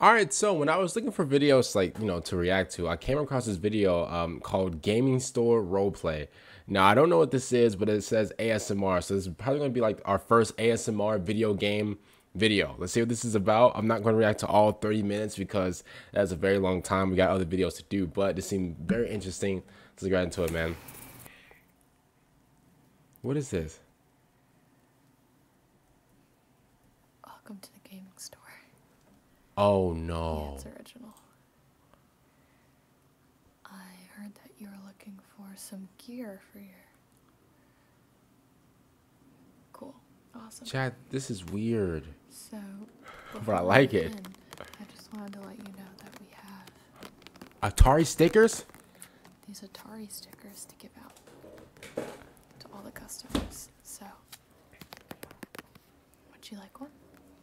All right, so when I was looking for videos like, you know, to react to, I came across this video um, called Gaming Store Roleplay. Now, I don't know what this is, but it says ASMR. So it's probably going to be like our first ASMR video game video. Let's see what this is about. I'm not going to react to all 30 minutes because that's a very long time. We got other videos to do, but this seemed very interesting. Let's get into it, man. What is this? Welcome to the gaming store. Oh no. it's original. I heard that you were looking for some gear for your. Cool. Awesome. Chad, this is weird. So. But I like it. I just wanted to let you know that we have. Atari stickers? These Atari stickers to give out to all the customers. So, would you like one?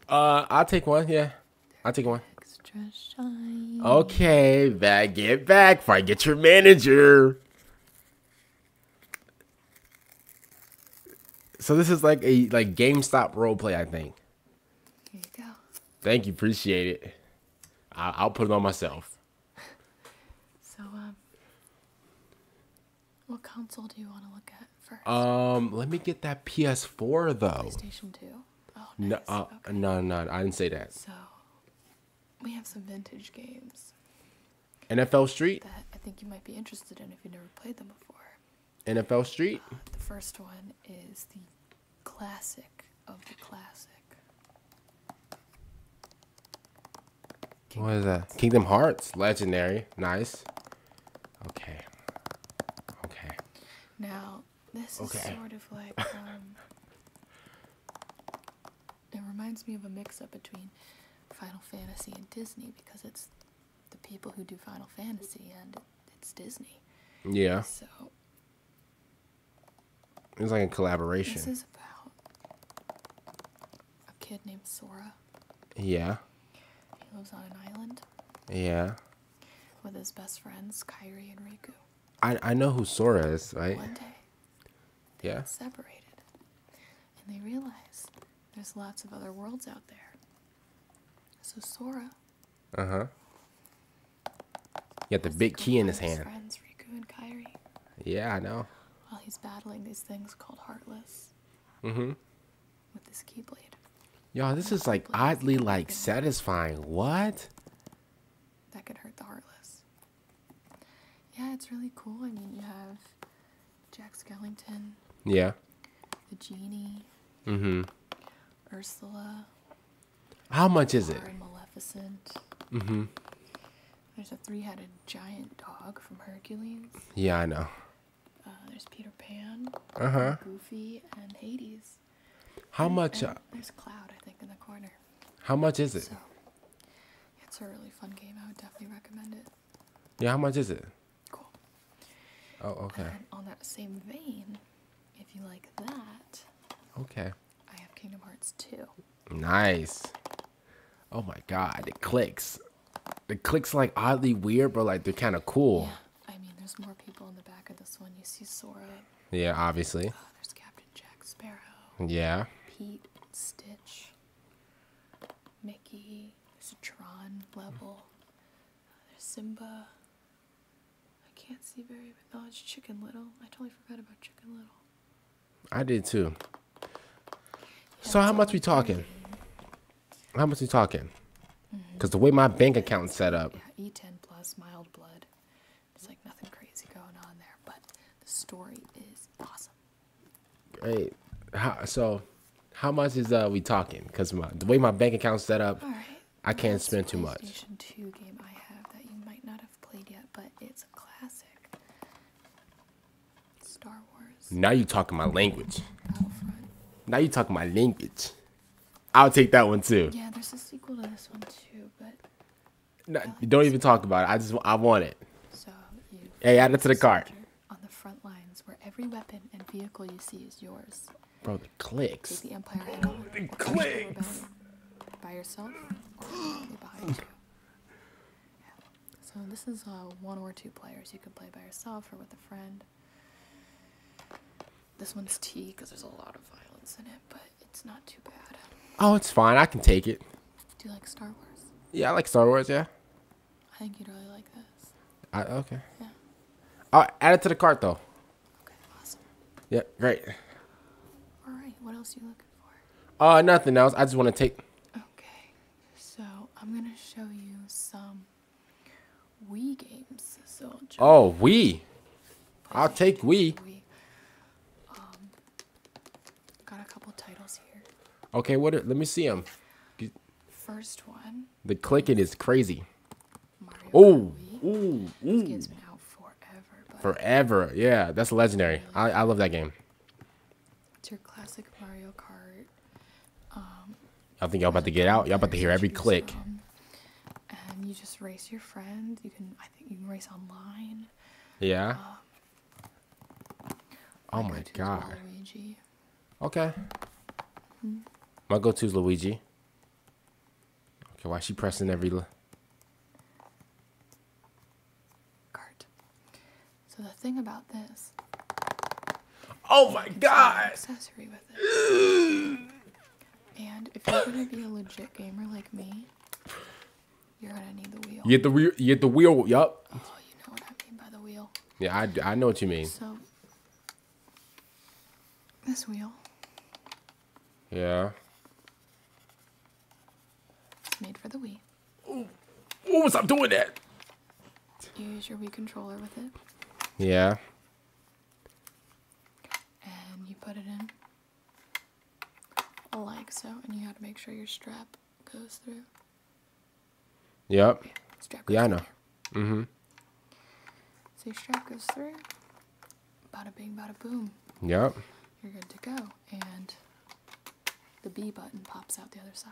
Uh, I'll take one. Yeah, I'll take one. Okay, back get back. Fight get your manager. So this is like a like GameStop play, I think. Here you go. Thank you, appreciate it. I'll put it on myself. so, um, what console do you want to look at first? Um, let me get that PS4 though. PlayStation 2. no, uh, no, no, I didn't say that. So, we have some vintage games. NFL Street. That I think you might be interested in if you've never played them before. NFL Street. Uh, the first one is the classic of the classic what is that? Kingdom Hearts. Legendary. Nice. Okay. Okay. Now, this is sort of like, um, it reminds me of a mix-up between Final Fantasy and Disney because it's the people who do Final Fantasy and it's Disney. Yeah. So it was like a collaboration. This is about a kid named Sora. Yeah. He lives on an island. Yeah. With his best friends, Kairi and Riku. I I know who Sora is, right? One day. yeah. separated. And they realize there's lots of other worlds out there. So Sora. Uh huh. He got the big key in his hand. Friends, Riku and Kairi. Yeah, I know while he's battling these things called Heartless. Mm-hmm. With this Keyblade. Y'all, this is like oddly like satisfying. What? That could hurt the Heartless. Yeah, it's really cool. I mean, you have Jack Skellington. Yeah. The genie. Mm-hmm. Ursula. How much is it? Maleficent. Mm-hmm. There's a three-headed giant dog from Hercules. Yeah, I know. Uh, there's Peter Pan, uh-huh. Goofy, and Hades. How much? uh, there's Cloud, I think, in the corner. How much is it? So, it's a really fun game. I would definitely recommend it. Yeah, how much is it? Cool. Oh, okay. on that same vein, if you like that. Okay. I have Kingdom Hearts too. Nice. Oh my god, it clicks. It clicks like oddly weird, but like they're kind of cool. Yeah. I mean, there's more people in the back of this one. You see Sora. Yeah, obviously. Oh, there's Captain Jack Sparrow. Yeah. Pete, Stitch, Mickey. There's a Tron level. there's Simba. I can't see very. Oh, it's Chicken Little. I totally forgot about Chicken Little. I did too. So how much we talking? How much we talking? Because mm-hmm. the way my bank account's set up. Yeah, E10 plus mild blood. It's like nothing crazy going on there, but the story is awesome. Great. so how much is uh we talking? Because the way my bank account's set up, right. I can't spend too much played yet, but it's a classic. Star Wars. Now you are talking my language. Now you are talking my language. I'll take that one too. Yeah, there's a sequel to this one too, but. No, don't even talk about it. I just I want it. So you. Hey, add it to the cart. On the front lines, where every weapon and vehicle you see is yours. Bro, the clicks. the Empire clicks. By yourself, so this is uh, one or two players. You could play by yourself or with a friend. This one is T because there's a lot of violence in it, but it's not too bad. Oh, it's fine. I can take it. Do you like Star Wars? Yeah, I like Star Wars. Yeah. I think you'd really like this. I okay. Yeah. I'll add it to the cart though. Okay. Awesome. Yep. Yeah, great. All right. What else do you look looking Uh, nothing else. I just want to take. Okay, so I'm gonna show you some Wii games. So. Oh, Wii. I'll take Wii. Um, got a couple titles here. Okay, what? let me see them. First one. The clicking is crazy. Oh, ooh, ooh. This has been out forever. Forever, yeah. That's legendary. I, I love that game. It's your classic Mario Kart. Um, I think y'all about to get out. Y'all about to hear every click. Um, and you just race your friends. You can, I think, you can race online. Yeah. Uh, oh my, god. Okay. Mm-hmm. My go to is Luigi. Okay, why is she pressing every? cart. So the thing about this. Oh my god! Accessory with it. and if you're gonna be a legit gamer like me, you're gonna need the wheel. You get the wheel. You get the wheel. Yup. Oh, you know what I mean by the wheel. Yeah, I, I know what you mean. So this wheel. Yeah. It's made for the Wii. Oh, What was I doing that? You use your Wii controller with it. Yeah. And you put it in. Like so. And you have to make sure your strap goes through. Yep. strap yeah I know. hmm So strap goes through. Bada bing, bada boom. Yep. You're good to go. And the B button pops out the other side.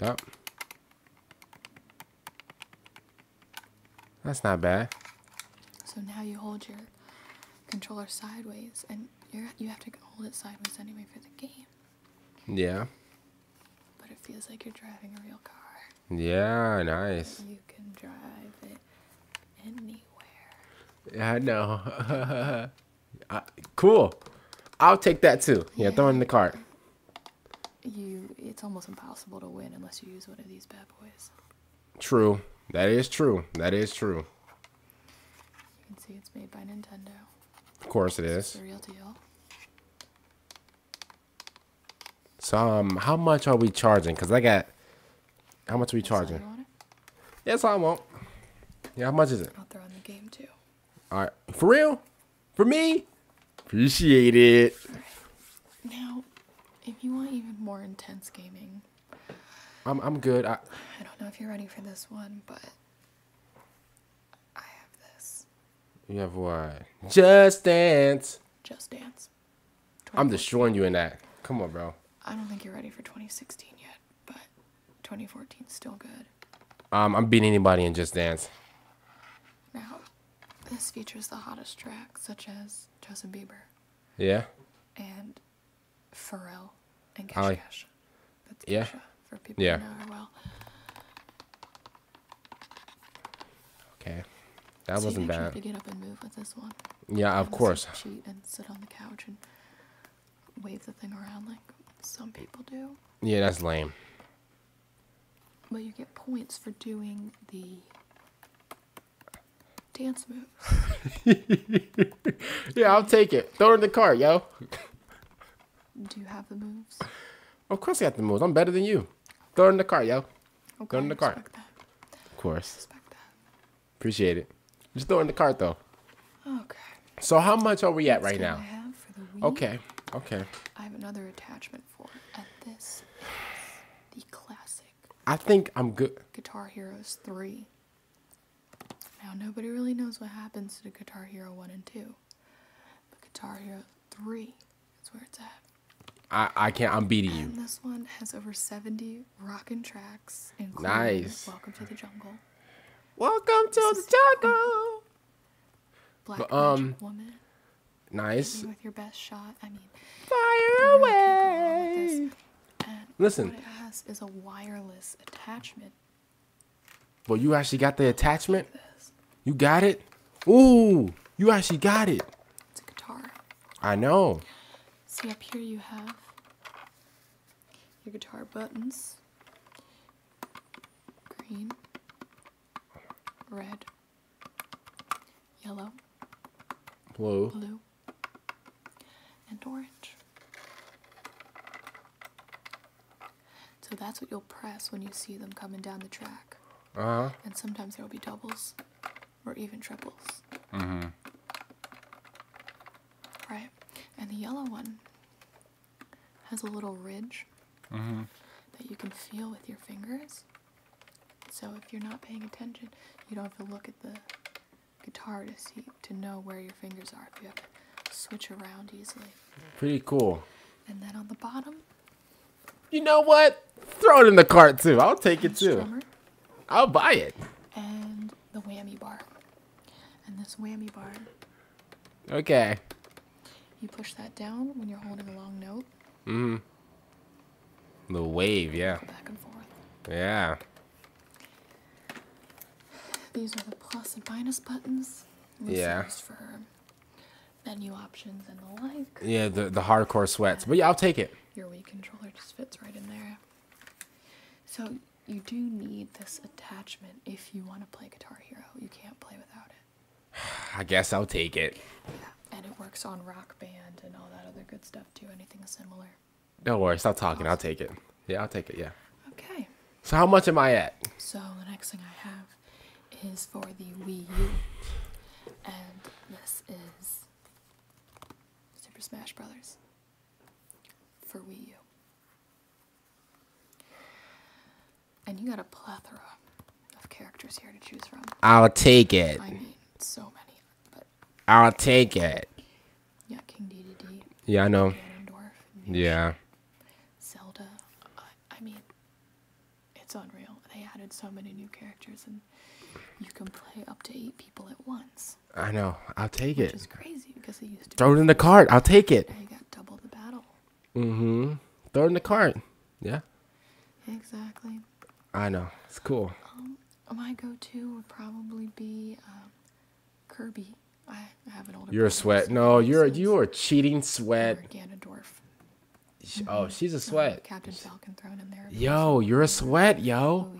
Yep. That's not bad. So now you hold your controller sideways, and you you have to hold it sideways anyway for the game. Yeah. But it feels like you're driving a real car. Yeah, nice. you can drive it anywhere. Yeah, I know. cool. I'll take that too. Yeah, throw it in the cart. You, it's almost impossible to win unless you use one of these bad boys. True. That is true. That is true. You can see it's made by Nintendo. Of course it is. It's a real deal. So, um, how much are we charging? Cause I got how much are we charging? Yes, I won't. Yeah, how much is it? I'll throw in the game too. All right, for real, for me, appreciate it. Now, if you want even more intense gaming, I'm I'm good. I I don't know if you're ready for this one, but I have this. You have what? Just dance. Just dance. I'm destroying you in that. Come on, bro. I don't think you're ready for 2016 yet but 2014 is still good. Um, I'm beating anybody in Just Dance. Now, this features the hottest tracks such as Justin Bieber. Yeah. And Pharrell and Kesha. Like... Kesha. That's yeah. for people yeah. who know her well. Okay. That wasn't bad. to get up and move with this one. Yeah, of course. Cheat and sit on the couch and wave the thing around like some people do. Yeah, that's lame. But you get points for doing the dance move. yeah, I'll take it. Throw it in the car, yo. Do you have the moves? Of course I have the moves. I'm better than you. Throw it in the car, yo. Okay, Throw in the car. Of course. Appreciate it. Just throw in the cart though. Okay. So how much are we at right now? Okay. Okay. I have another attachment for it. At this the classic. I think I'm good. Guitar Heroes 3. Now nobody really knows what happens to Guitar Hero 1 and 2. But Guitar Hero 3 That's where it's at. I, I can't I'm beating you. this one has over 70 rockin' tracks, including nice. Welcome to the Jungle. Welcome to the Jungle. Black but, um, Magic Woman. Nice. With your best shot. I mean, fire away. Listen. What it is a wireless attachment. Well, you actually got the attachment. You got it. Ooh, you actually got it. It's a guitar. I know. See up here, you have your guitar buttons green, red, yellow, blue, blue and orange. So that's what you'll press when you see them coming down the track. Uh And sometimes there will be doubles or even triples. Mm -hmm right? And the yellow one has a little ridge mm-hmm. that you can feel with your fingers. So if you're not paying attention, you don't have to look at the guitar to see to know where your fingers are. If you have to switch around easily. Pretty cool. And then on the bottom. You know what? Throw it in the cart too. I'll take it too. I'll buy it. And the whammy bar. And this whammy bar. Okay. You push that down when you're holding a long note. Mm hmm. The wave, yeah. back and forth. Yeah. These are the plus and minus buttons. yeah. for menu options and the like. Yeah, the, the hardcore sweats. But yeah, I'll take it. Your Wii controller just fits right in there. So you do need this attachment if you want to play Guitar Hero. You can't play without it. I guess I'll take it. Yeah, and it works on Rock Band and all that other good stuff too. Anything similar. Don't worry. Stop talking. I'll take it. Yeah, I'll take it. Yeah. Okay. So how much am I at? So the next thing I have is for the Wii U, and this is Super Smash Brothers for Wii U. And you got a plethora of characters here to choose from. I'll take it. I mean, so many. But I'll take it. Yeah, King DDD. Yeah, I know. Yeah. Zelda. I mean, it's unreal. They added so many new characters, and you can play up to eight people at once. I know. I'll take it. Which crazy because it used to. Throw it in the cart. I'll take it. I got double the battle. hmm Throw it in the cart. Yeah. Exactly. I know. It's cool. Um, my go-to would probably be um, Kirby. I have an older. You're a sweat. no, you're a, you are cheating sweat. You're Oh, mm-hmm. she's a sweat. Captain Falcon thrown in there. Yo, you're a sweat, yo.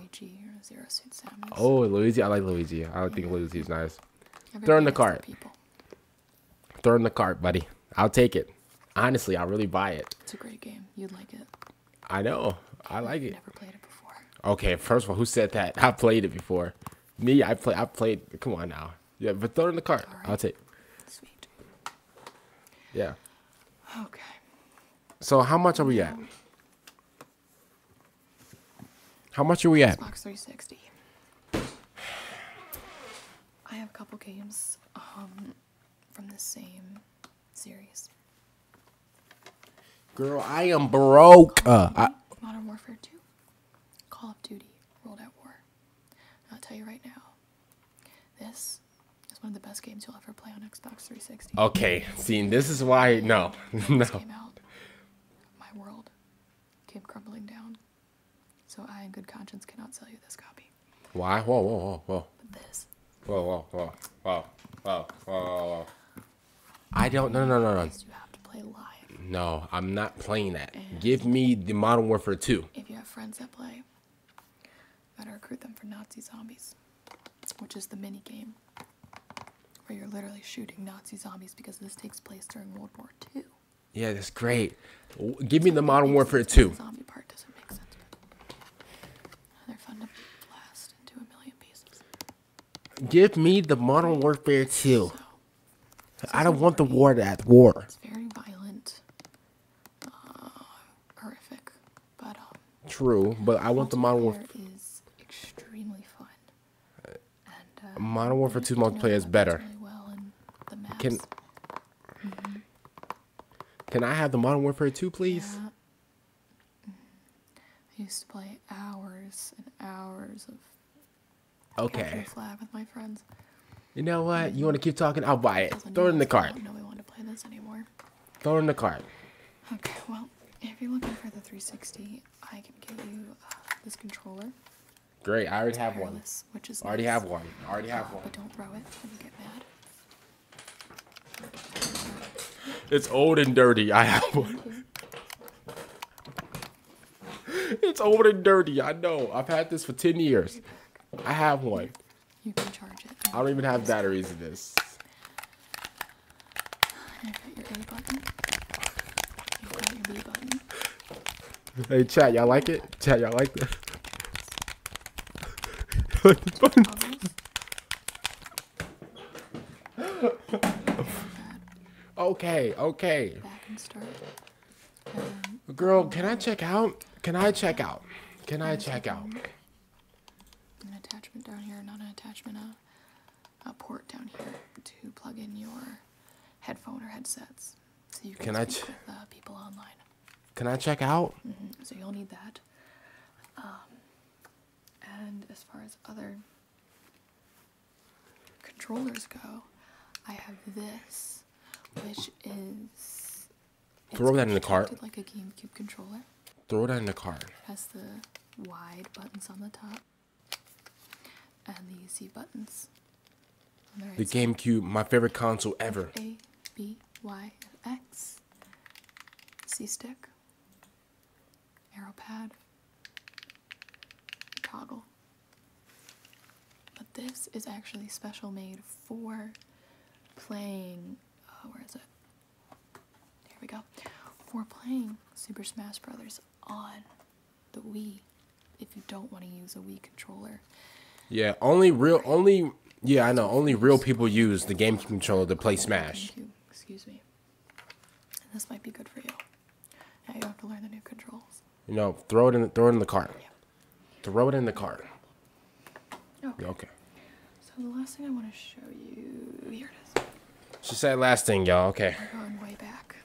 Oh, Luigi. I like Luigi. I think yeah. Luigi's nice. Throw in the cart. Throw in the cart, buddy. I'll take it. Honestly, i really buy it. It's a great game. You'd like it. I know. I like it. Never played it before. Okay, first of all, who said that? I played it before. Me, I play. I played. Come on now. Yeah, but throw in the cart. I'll take. Sweet. Yeah. Okay. So how much are we at? Um, how much are we at? Xbox 360. I have a couple games um, from the same series. Girl, I am broke. Uh, Modern Warfare 2, Call of Duty, World at War. I'll tell you right now, this is one of the best games you'll ever play on Xbox 360. Okay, see, this is why no, no. My world came crumbling down. So I, in good conscience, cannot sell you this copy. Why? Whoa, whoa, whoa, whoa. But this. Whoa, whoa, whoa, whoa, whoa, whoa, whoa. I don't. No, no, no, no. You have to play live. No, I'm not playing that. And Give me the Modern Warfare 2. If you have friends that play, you gotta recruit them for Nazi zombies, which is the mini game where you're literally shooting Nazi zombies because this takes place during World War II. Yeah, that's great. Give me the Modern Warfare 2. Zombie part doesn't make sense. they fun to blast into a million pieces. Give me the Modern Warfare 2. I don't want the war to at war. It's very violent. Uh, horrific. But um, True, but I want the Modern Warfare. Is extremely fun. And, uh, Modern Warfare 2 multiplayer is better. can Can I have the Modern Warfare 2, please? Mm-hmm. I used to play hours and hours of okay with my friends. You know what? You want to keep talking? I'll buy it. Throw it in the cart. No, we want to play this anymore. Throw it in the cart. Okay, well, if you're looking for the 360, I can give you uh, this controller. Great, I already have one. Which is already have one. Already have one. But don't throw it when you get mad. It's old and dirty. I have one. it's old and dirty. I know. I've had this for 10 years. I have one. You can charge it. I don't even have batteries in this. Hey chat, y'all like it? Chat, y'all like this? okay, okay. Back and start. Girl, can I check out? Can I check out? Can I check out. A port down here to plug in your headphone or headsets. So you can, can I ch- with, uh, people online. Can I check out? Mm-hmm. So you'll need that. Um, and as far as other controllers go, I have this, which is throw that in the cart like a GameCube controller. Throw it in the car. It has the wide buttons on the top and the C buttons. The, GameCube, my favorite console ever. A B Y X C stick. Arrow pad. Toggle. But this is actually special made for playing. Uh, where is it? Here we go. We're playing Super Smash Brothers on the Wii. If you don't want to use a Wii controller. Yeah, only real only yeah, I know. Only real people use the GameCube controller to play Smash. excuse me. this might be good for you. Now you have to learn the new controls. You know, throw it in throw it in the cart. Throw it in the cart. Oh. okay. So the last thing I want to show you, here it is. She said last thing, y'all. Okay. We're way back.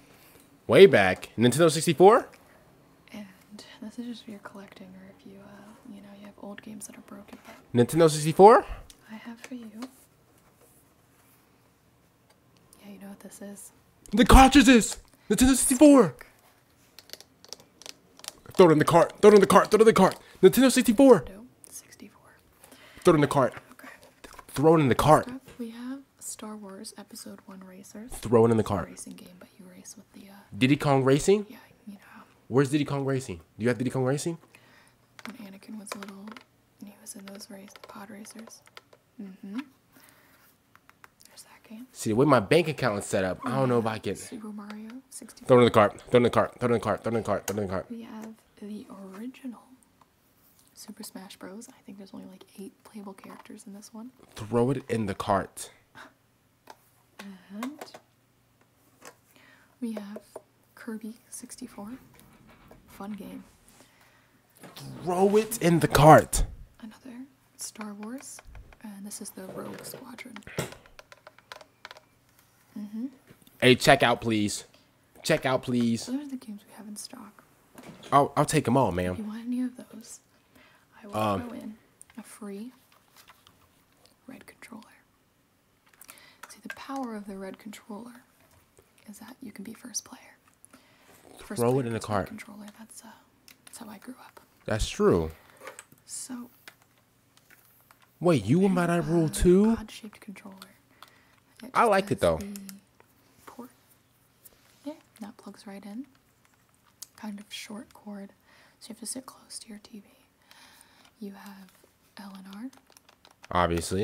Way back? Nintendo 64? And this is just if you collecting or if you, uh, you know, you have old games that are broken. Nintendo 64? I have for you. Yeah, you know what this is. The cartridges! Nintendo 64! Throw it in the cart, throw it in the cart, throw it in the cart. Nintendo 64. Nintendo 64. Throw it in the cart. Okay. Throw it in the cart. Up, we have Star Wars Episode One racers. Throw it in the cart. Racing game, but you race with the. Uh, Diddy Kong Racing. Yeah, you know. Where's Diddy Kong Racing? Do you have Diddy Kong Racing? When Anakin was little, and he was in those race pod racers. Mm-hmm. There's that game. See, the way my bank account is set up, I don't know if I can. Super Mario 64. Throw it in the cart. Throw it in the cart. Throw it in the cart. Throw it in the cart. Throw it in the cart. We have the original Super Smash Bros. I think there's only like eight playable characters in this one. Throw it in the cart. And we have Kirby 64. Fun game. Throw it in the cart. Another Star Wars. And this is the Rogue Squadron mm Hey, check out, please. Check out, please. Those are the games we have in stock. I'll, I'll take them all, ma'am. If you want any of those, I will um, in a free red controller. See, the power of the red controller is that you can be first player. throw it in the cart. Controller. That's uh, that's how I grew up. That's true. So, Wait, you went by that rule too? I liked it though. Port. Yeah, that plugs right in. Kind of short cord, so you have to sit close to your TV. You have L and R. Obviously.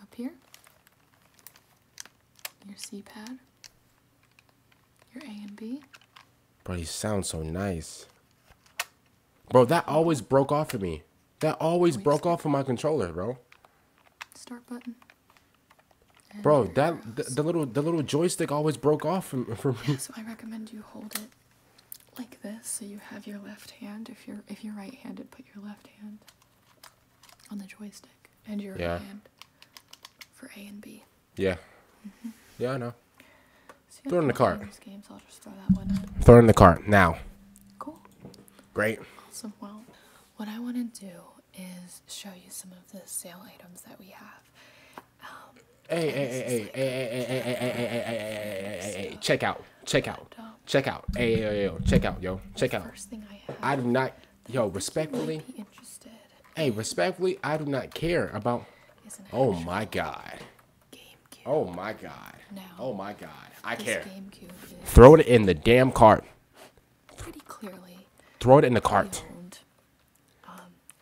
Up here. Your C pad. Your A and B. But he sounds so nice. Bro, that always broke off of me. That always broke off of my controller, bro. Start button. bro, that the, little the little joystick always broke off from from me. so I recommend you hold it like this, so you have your left hand. If you're if you're right-handed, put your left hand on the joystick and your right hand for A and B. Yeah. Mm-hmm. Yeah, I know. throw it in the cart. throw, throw it in the cart now. Cool. Great. Awesome. Well, what I want to do is show you some of the sale items that we have. Um, hey, hey, hey, hey, like, hey, hey, hey, hey, hey, hey, hey, hey, hey, hey, check out, check out, and, um, check out, hey, yo, yo, yo, check out, yo, check out. First thing I have. I do not, yo, respectfully. Interested. Hey, respectfully, I do not care about. Oh my God. GameCube. Oh my god. No. Oh my god. I this care. Throw it in the damn cart. Pretty clearly. Throw it in the cart. Um,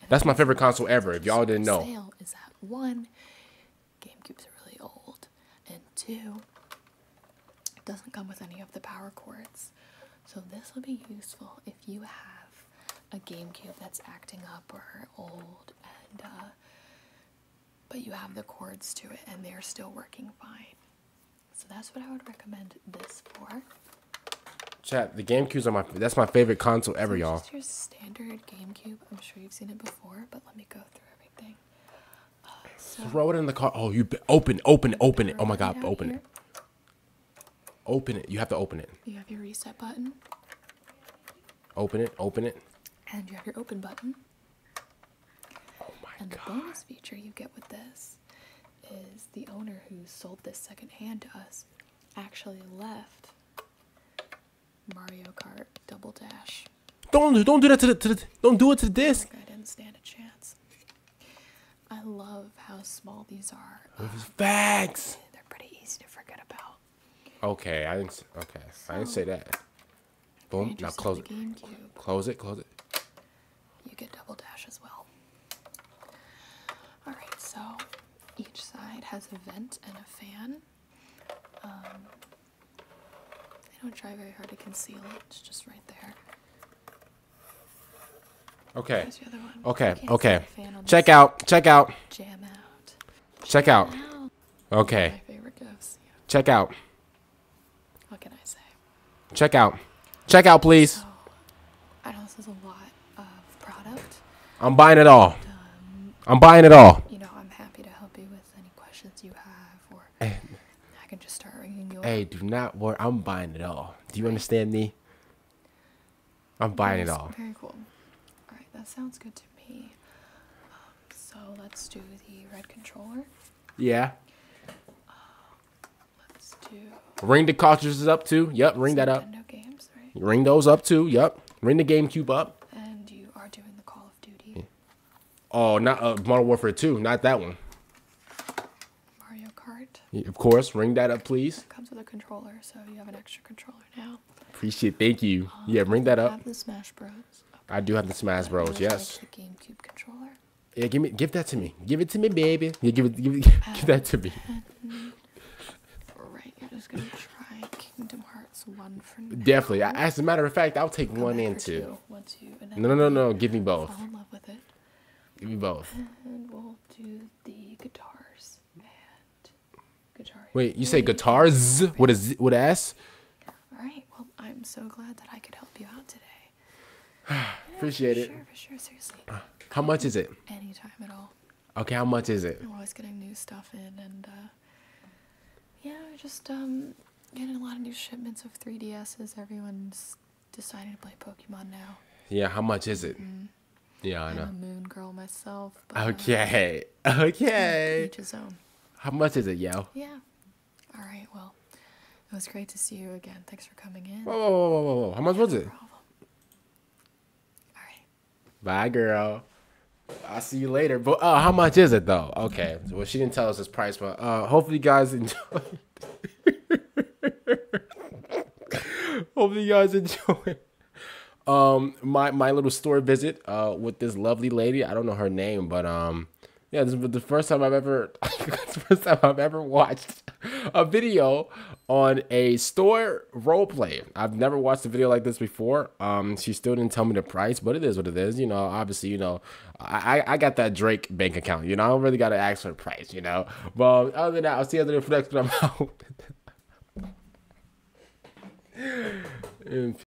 that's my favorite console ever. If y'all didn't know. Sale is at one. GameCubes are really old, and two. It doesn't come with any of the power cords. So this will be useful if you have a GameCube that's acting up or old and uh, but you have the cords to it and they're still working fine. So that's what I would recommend this for. Chat, the GameCubes are my that's my favorite console ever, y'all. your standard GameCube. I'm sure you've seen it before, but let me go through everything. Uh, Throw it in the car. Oh, you open, open, open it. Oh my God, open it. Open it. You have to open it. You have your reset button. Open it. Open it. And you have your open button and the bonus feature you get with this is the owner who sold this secondhand to us actually left Mario Kart Double Dash. Don't don't do that to the, don't do it to the disc. I didn't stand a chance. I love how small these are. Um, Facts. They're pretty easy to forget about. Okay, I Okay, I didn't say that. Boom. Now close it. Close it. Close it. You get double dash as well. All right. So each side has a vent and a fan. Um, I don't try very hard to conceal it. It's just right there. Okay. okay. Okay. Check out. Check out. Jam out. Check out. Okay. Check out. What can I say? Check out. Check out, please. So, I know this is a lot of product. I'm buying it all. I'm buying it all. You know, I'm happy to help you with any questions you have, or hey. Eh. I can just start Hey, do not worry. I'm buying it all. Do you understand me? I'm buying it all. Very cool. All right, that sounds good to me. So let's do the red controller. Yeah. Uh, let's do. Ring the cartridges up too. Yep, ring that up. Ring those up too. Yep, ring the GameCube up. And you are doing the Call of Duty. Oh, not a uh, Modern Warfare 2, not that one. Mario Kart. of course, ring that up, please. comes with a controller, so you have an extra controller now. Appreciate, thank you. Uh, yeah, ring that up. the Smash Bros. I do have the Smash Bros. Yes. The GameCube controller. Yeah, give me, give that to me. Give it to me, baby. Yeah, give it, give, that to me. right, you're just gonna try Kingdom Hearts one for now. Definitely. As a matter of fact, I'll take one and two. no, no, no, no. Give me both. Fall in love with it. Give me both. And we'll do the guitars Wait, you say guitars What is a Z, with a S? All right. Well, I'm so glad that I could help you out today. Appreciate it. Sure, for sure. Seriously. Uh, how much is it? Any time at all. Okay, how much is it? We're always getting new stuff in, and uh, yeah, just um, getting a lot of new shipments of 3DSs. Everyone's deciding to play Pokemon now. Yeah, how much is it? Mm-hmm. Yeah, I know. I'm a moon girl myself. Uh, okay, okay. Each his own. How much is it, yo? Yeah, all right. Well, it was great to see you again. Thanks for coming in. Whoa, whoa, whoa, whoa, whoa! How much was it? Problem. All right. Bye, girl. I'll see you later. But uh, how much is it though? Okay. Well, she didn't tell us this price, but uh, hopefully you guys enjoyed. hopefully you guys enjoyed um my my little store visit uh, with this lovely lady. I don't know her name, but um, yeah, this is the first time I've ever, first time I've ever watched a video on a store role play. I've never watched a video like this before. Um, she still didn't tell me the price, but it is what it is. You know, obviously, you know, I, I got that Drake bank account. You know, I don't really got to ask for the price. You know, but other than that, I'll see you other for next. But